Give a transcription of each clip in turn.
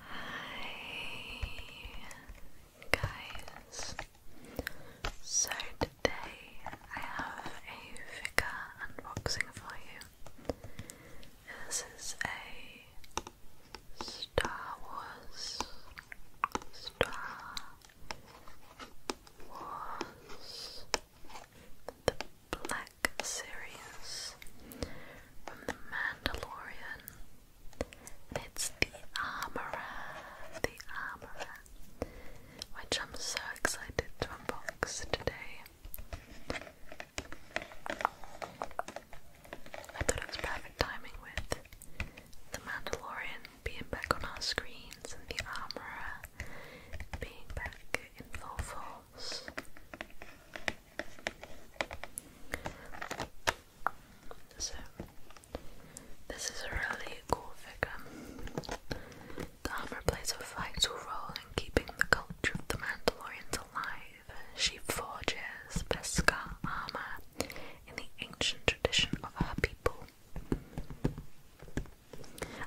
Hi guys. So today I have a figure unboxing for you. This is a Star Wars Star Wars the Black Series from The Mandalorian. it's the Armorer, the Armorer, which I'm so excited to unbox today. I thought it was perfect timing with The Mandalorian being back on our screens and the Armorer being back in full balls. So, this is a really cool figure. The plays a vital role in keeping the culture of the Mandalorians alive. She forges Beskar armor in the ancient tradition of her people.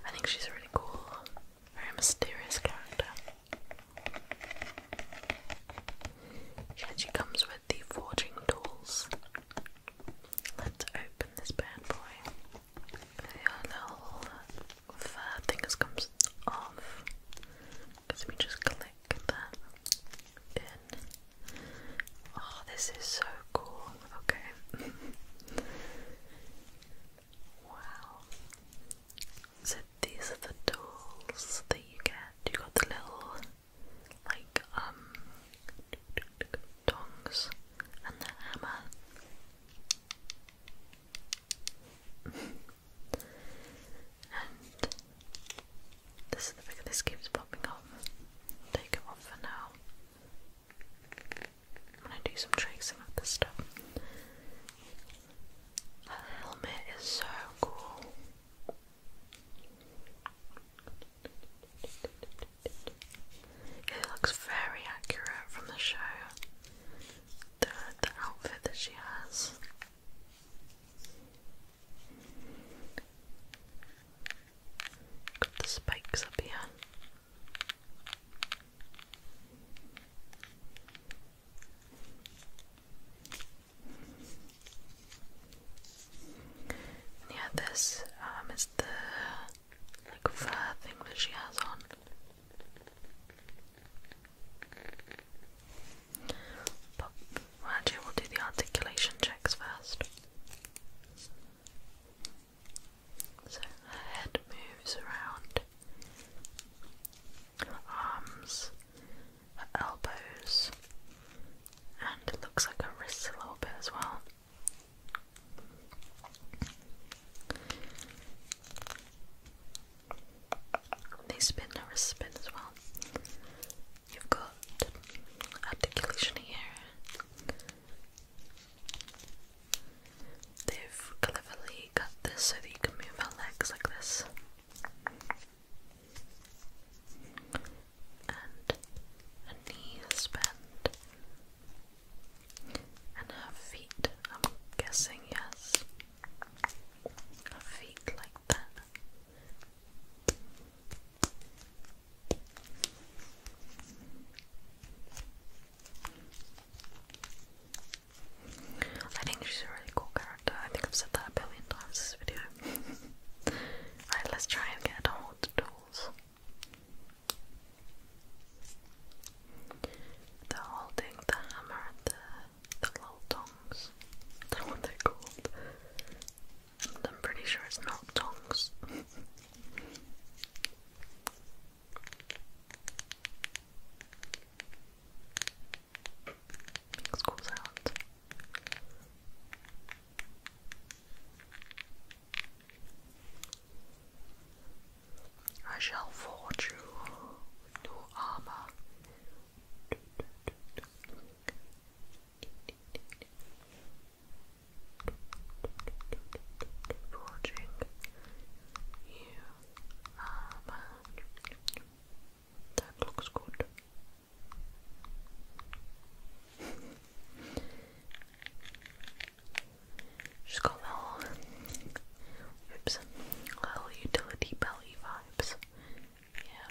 I think she's really cool. Very mysterious character. She actually comes with the forging tools. Let's open this bad boy. Her little fur things comes off. Let me just click that in. Oh, this is so cool. Okay. wow. So these are the tools that you get. You got the little like um tongs and the hammer. and this is the bigger this keeps popping off. Take it off for now. I'm gonna do some tracing of this stuff. That helmet is so cool. It looks very accurate from the show. the outfit that she has. Got the spikes up here. Yeah, this um is the like fur thing that she has on. But well, we'll do the articulation checks first. So her head moves around, arms, her elbows, and it looks like her wrists a little bit as well. They spin, the wrists spin as well. You've got articulation here, They've cleverly cut this so that you can move our legs like this. And a knee bent. And her feet, I'm guessing, yes. Her feet like that. I think she's a really cool character. I think I've said that a billion times this video. Alright, let's try and get all the tools. they holding the hammer the, the little tongs. I don't know what they're called. I'm pretty sure it's not tongs. I shall forge you new armor forging you That looks good. She's got little, oops, little utility belly vibes. Yeah.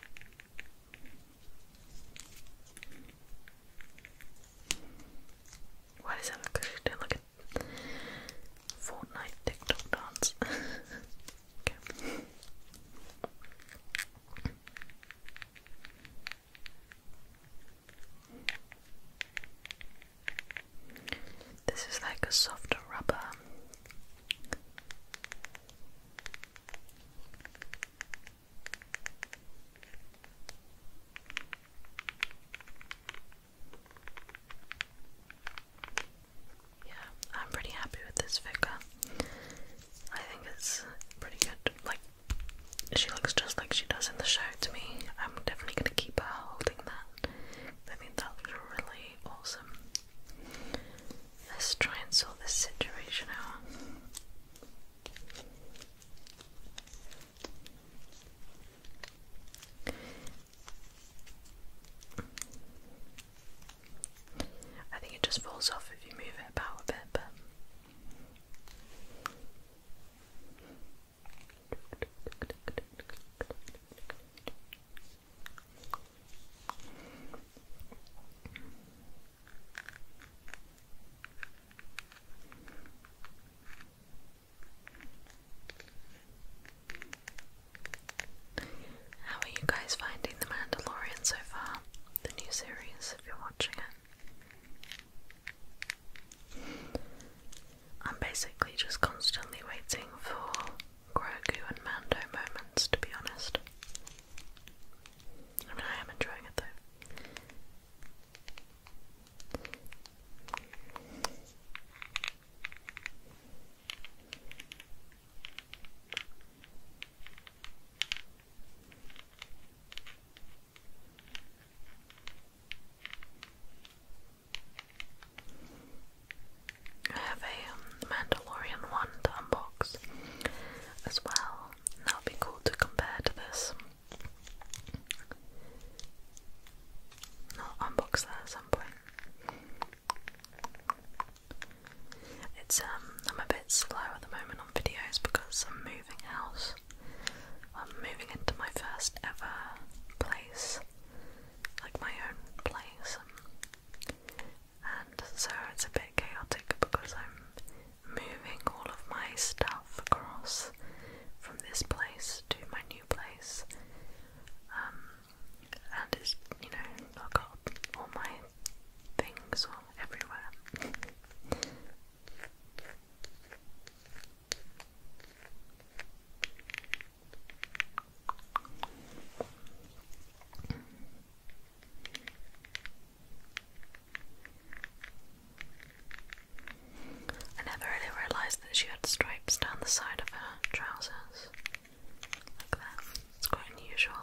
Why does that look like don't look at Fortnite TikTok dance? This is like a softer rubber. Yeah, I'm pretty happy with this figure. I think it's pretty good. Like, she looks just like she does in the show to me. I'm definitely gonna keep her holding that. I think that looks really awesome. Let's try and sort this situation out. I think it just falls off if you move it about a bit, but. How are you guys finding The Mandalorian so far? The new series, if you're watching it. I'm basically just constantly waiting for Grogu and Mando moments, to be honest. I mean, I am enjoying it though. I have a Mandalorian one to unbox as well. That would be cool to compare to this. I'll unbox that at some point. It's um I'm a bit slow at the moment on videos because I'm moving house. I'm moving into my first ever place. Like my own place and so it's a bit chaotic because I'm moving all of my stuff across from this place to my new place. Um, and it's, you know, I've got all my things all everywhere. I never really realised that she had stripes down the side of her trousers. Like that. It's quite unusual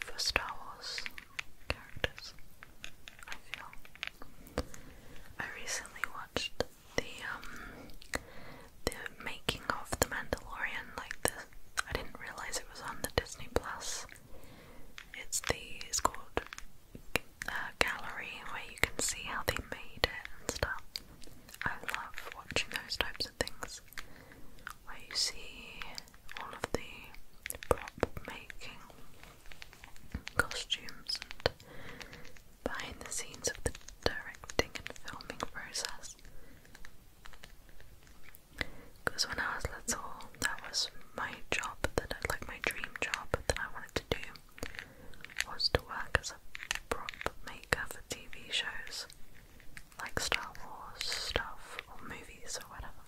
for Star Wars characters, I feel. I recently watched the um the making of The Mandalorian, like this. I didn't realize it was on the Disney Plus. It's the it's called uh, gallery where you can see how they made it and stuff. I love watching those types of things where you see all of the prop making, costumes, and behind the scenes of the directing and filming process. Because when I was little, that was my job, that I, like my dream job that I wanted to do, was to work as a prop maker for TV shows, like Star Wars stuff or movies or whatever.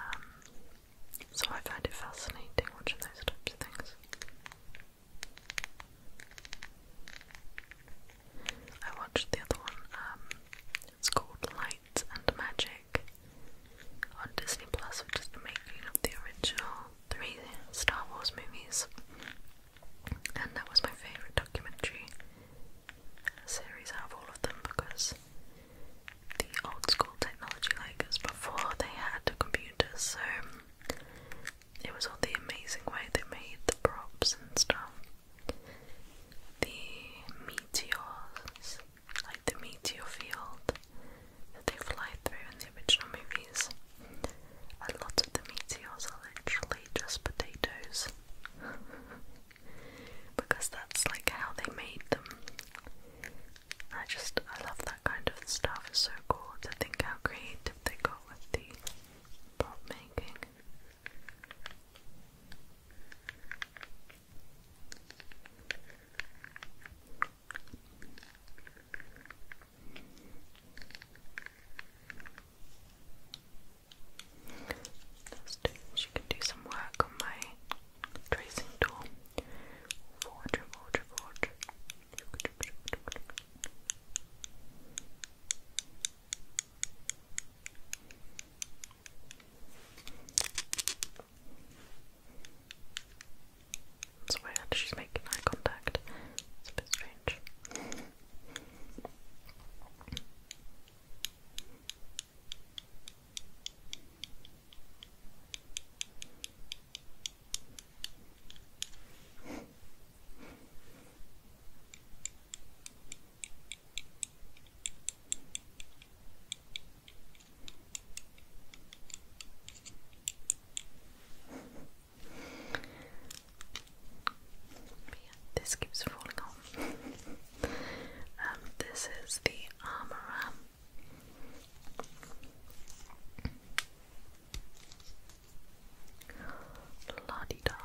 Um, so I find it fascinating watching those types of things. I watched the other one, um, it's called Light and Magic on Disney Plus, which is the making of the original three Star Wars movies. And that was my favourite documentary series out of all of them because the old school technology, like this, before, they had computers, so it was all the amazing way they made the props and stuff. The meteors, like the meteor field that they fly through in the original movies. A lot of the meteors are actually just potatoes. because that's like how they made them. I just I love that kind of stuff. It's so cool to think how creative they got with the pop making. Do, she can do some work on my tracing tool. Forge, forge, forge. It's weird she's making eye contact. It's a bit strange yeah, this keeps falling off. um, this is the armor. Um, La -di da.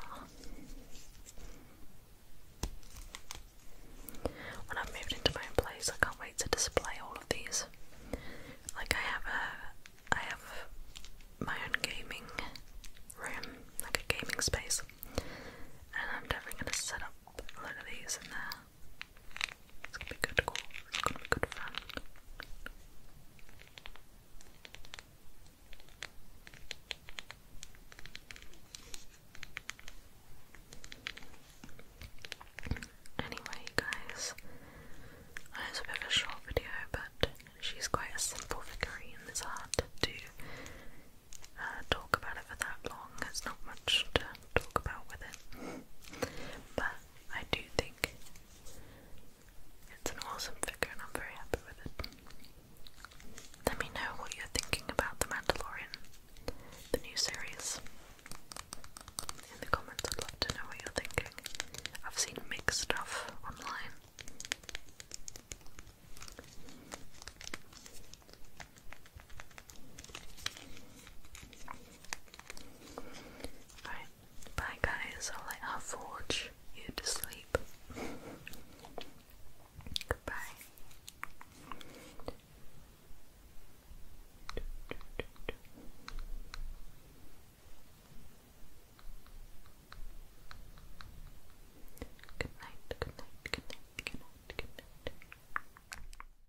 When I've moved into my own place, I can't wait to display all of these. Like I have a, I have my own gaming room, like a gaming space, and I'm definitely gonna set up a lot of these in there. It's gonna be good cool. It's gonna be good fun. Anyway, guys, I was a bit of a short video, but she's quite a simple figurine. It's hard to uh, talk about it for that long. There's not much to talk about with it. But I do think it's an awesome figure and I'm very happy with it. Let me know what you're thinking about The Mandalorian, the new series. In the comments, I'd love to know what you're thinking. I've seen mixed stuff online. Alright, bye guys, I'll let her forge you to sleep. Goodbye. Good night, good night, good night, good night, good night.